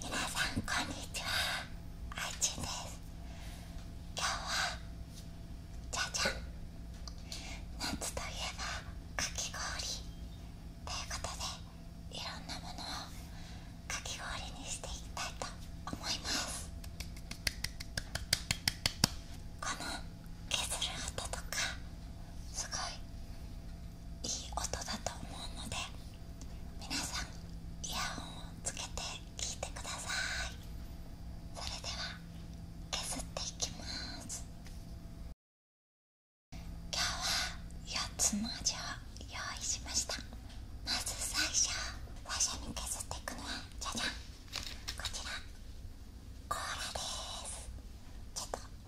皆さんこんにちはあいちんです今日はじゃじゃん夏といえばかき氷ということでいろんなものをかき氷にしていきたいと思いますこの削る音とかすごいいい音だと思うので皆さんイヤホンをつけて聞いてくださいそれでは削っていきます今日は4つ文字を用意しましたまず最初最初に削っていくのはじゃじゃんこちらコーラですちょっと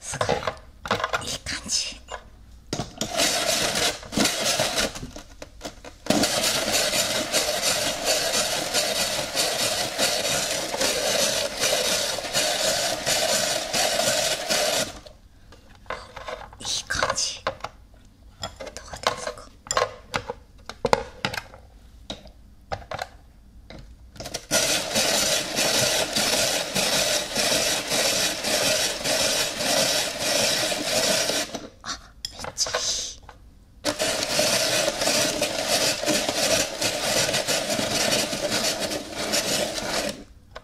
すごいいい感じ。いい感じどうですかあめっちゃいい。きましたどう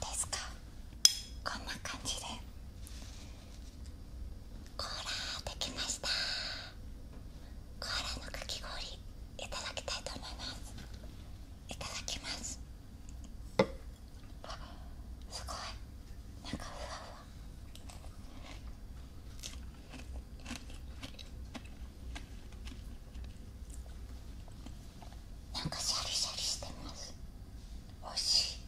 ですかこんな感じでコーラできましたコーラのかき氷いただきたいと思いますいただきますあすごいなんかふわふわなんかシャリシャリしてますおいしい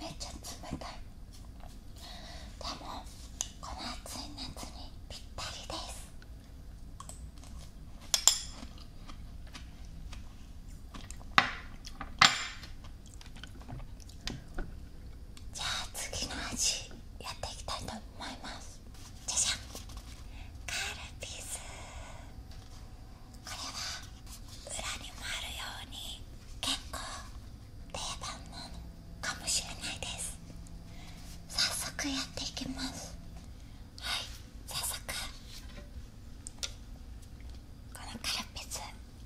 めっちゃ冷たいでもこの暑い夏にぴったりですじゃあ次の味やっていきたいと思いますじゃじゃんカルピスこれは裏にもあるように結構定番のかもしれないです早速やっていきますはい早速このカルピス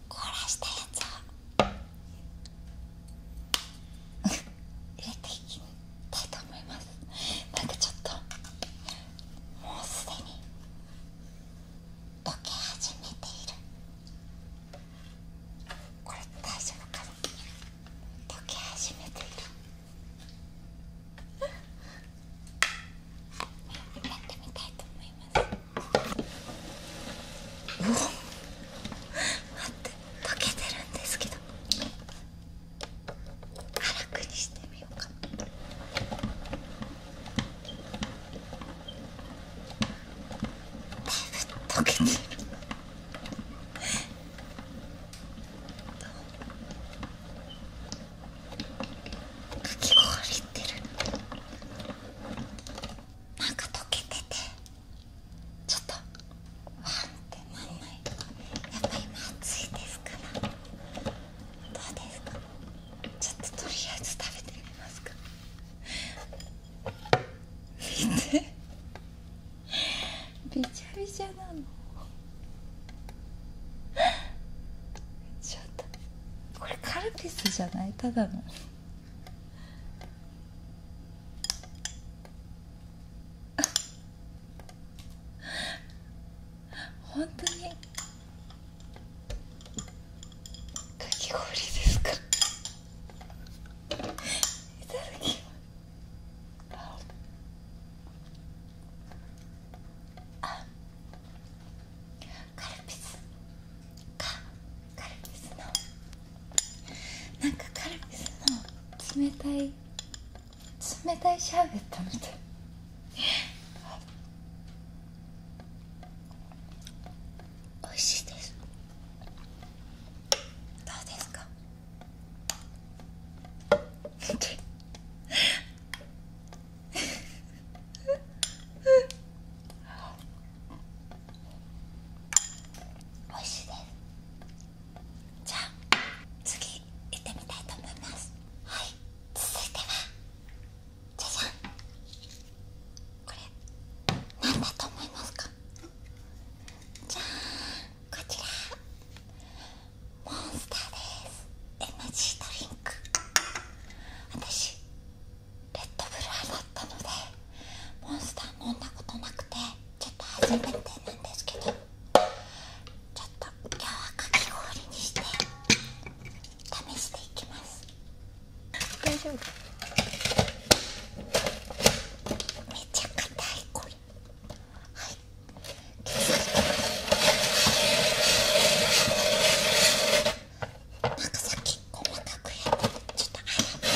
凍らしたやつを入れていきたいと思いますなんかちょっともうすでに溶け始めているこれ大丈夫かな溶け始めているやってみたいと思います待って溶けてるんですけどら、くりしてみようかなだいぶ溶けてるかき氷ってるなんか溶けててちょっとワンってなんないやっぱり今暑いですからどうですかちょっととりあえず食べてみますか見て。びちゃびちゃなのちょっとこれカルピスじゃないただの。本当にかき氷ですから。いただきます。あ。カルなんかカルピスの冷たい冷たいシャーベットみたい美味しいですどうですかおいしいですじゃ次行ってみたいと思いますはい続いてはじゃじゃんこれ何だと思いますかじゃあこちらモンスターですエナジードリンク私レッドブル派だったのでモンスター飲んだことなくてちょっと初めてなんですけどちょっと今日はかき氷にして試していきます。大丈夫めちゃ硬いこれはいなんかさっき細かくやってちょっとあ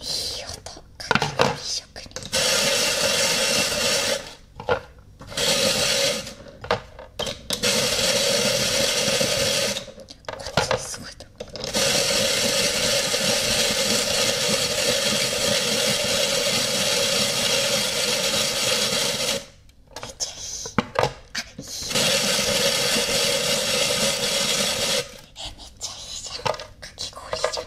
いい音かなり一色に。っちすごいと思う。めっちゃいい。あいいえめっちゃいいじゃん。かき氷じゃん。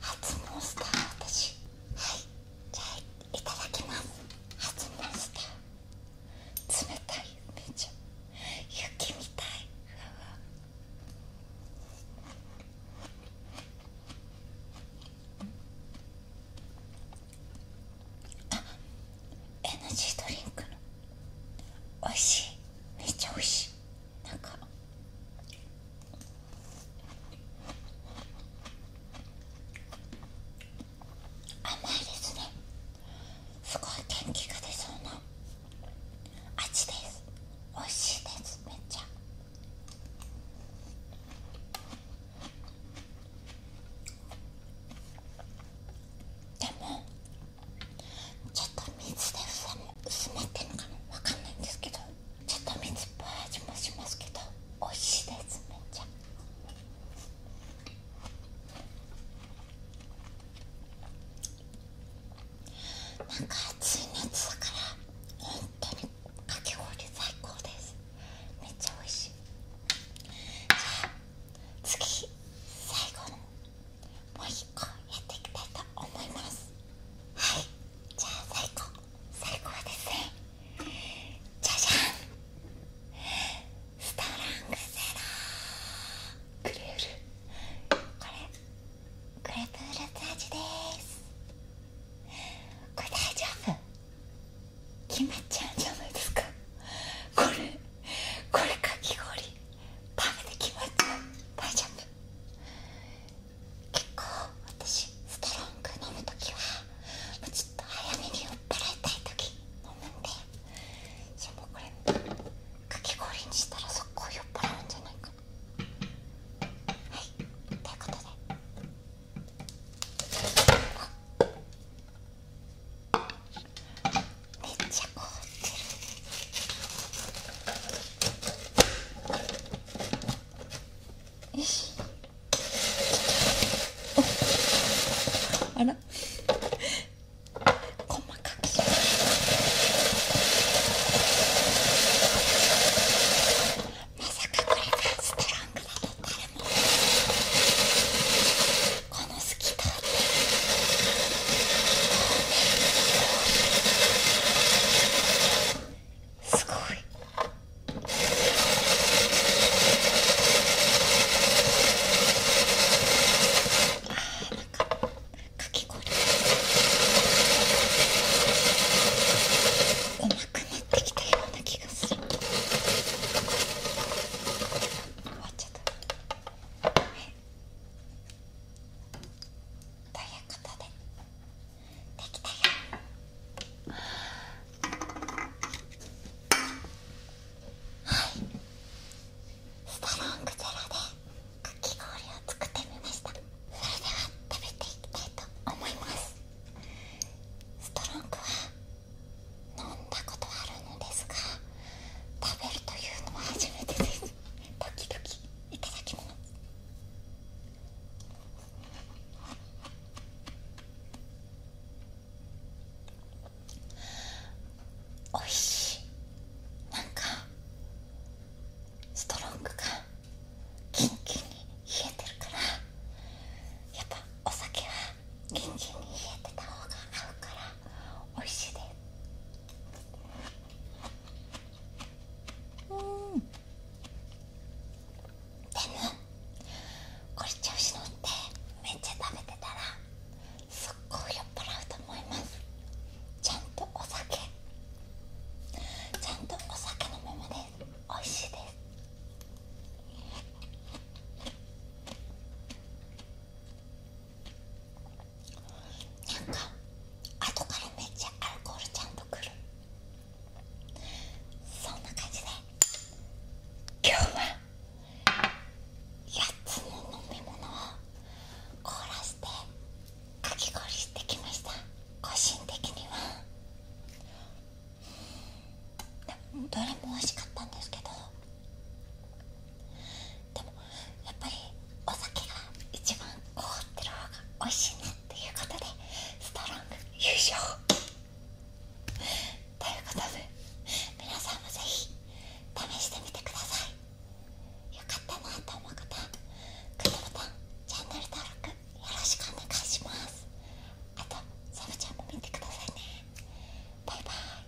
初モンスター私はいじゃあいただきます初モンスター冷たいめちゃ雪みたいあっジードリンクのおいしいめちゃおいしいなんか甘いですねすごい元気が出そうな味です美味しいですめっちゃでもちょっと水で薄まってるのかなわかんないんですけどちょっと水っぽい味もしますけど美味しいですめっちゃなんか暑い夏だから本当にかき氷最高ですめっちゃ美味しいじゃあ次最後のもう一進行やっていきたいと思いますはいじゃあ最後最後はですねじゃじゃんストロングセラクレールこれクレープフルーツ味ですこれ大丈夫決まちゃんじゃないですかこれこれかき氷食べてきます大丈夫結構私ストロング飲む時はもうちょっと早めに酔っ払いたい時飲むんでじゃもこれかき氷にしたら速攻酔っ払うんじゃないかはいということでめっちゃ凍ってる。よし。あら細かくしまさかこれがストラングだと誰もこのスキターってすごい。ああ、なななんか。かきき氷。ううまくってたよ気がする。終わっちゃった。ということでできたよはいストロングゼロでかき氷を作ってみましたそれでは食べていきたいと思いますストロングは飲んだことあるのですが食べるというのは初めてですドキドキ、いただきますおいしいなんかストロングがキンキンに冷えてるからやっぱお酒はキンキンに冷えてた方が合うからおいしいでうんでもこれ調子乗ってめっちゃ食べてたらすっごい酔っ払うと思いますちゃんとお酒ちゃんとお酒飲めまで美味しいですなんか後からめっちゃアルコールちゃんとくるそんな感じで今日は8つの飲み物を凍らせてかき氷してきました個人的にはどれも美味しかったんですけどでもやっぱりお酒が一番凍ってる方が美味しいねということでストロング優勝ということで皆さんもぜひ試してみてくださいよかったなと思う方グッドボタンチャンネル登録よろしくお願いしますあとサブちゃんも見てくださいねバイバイ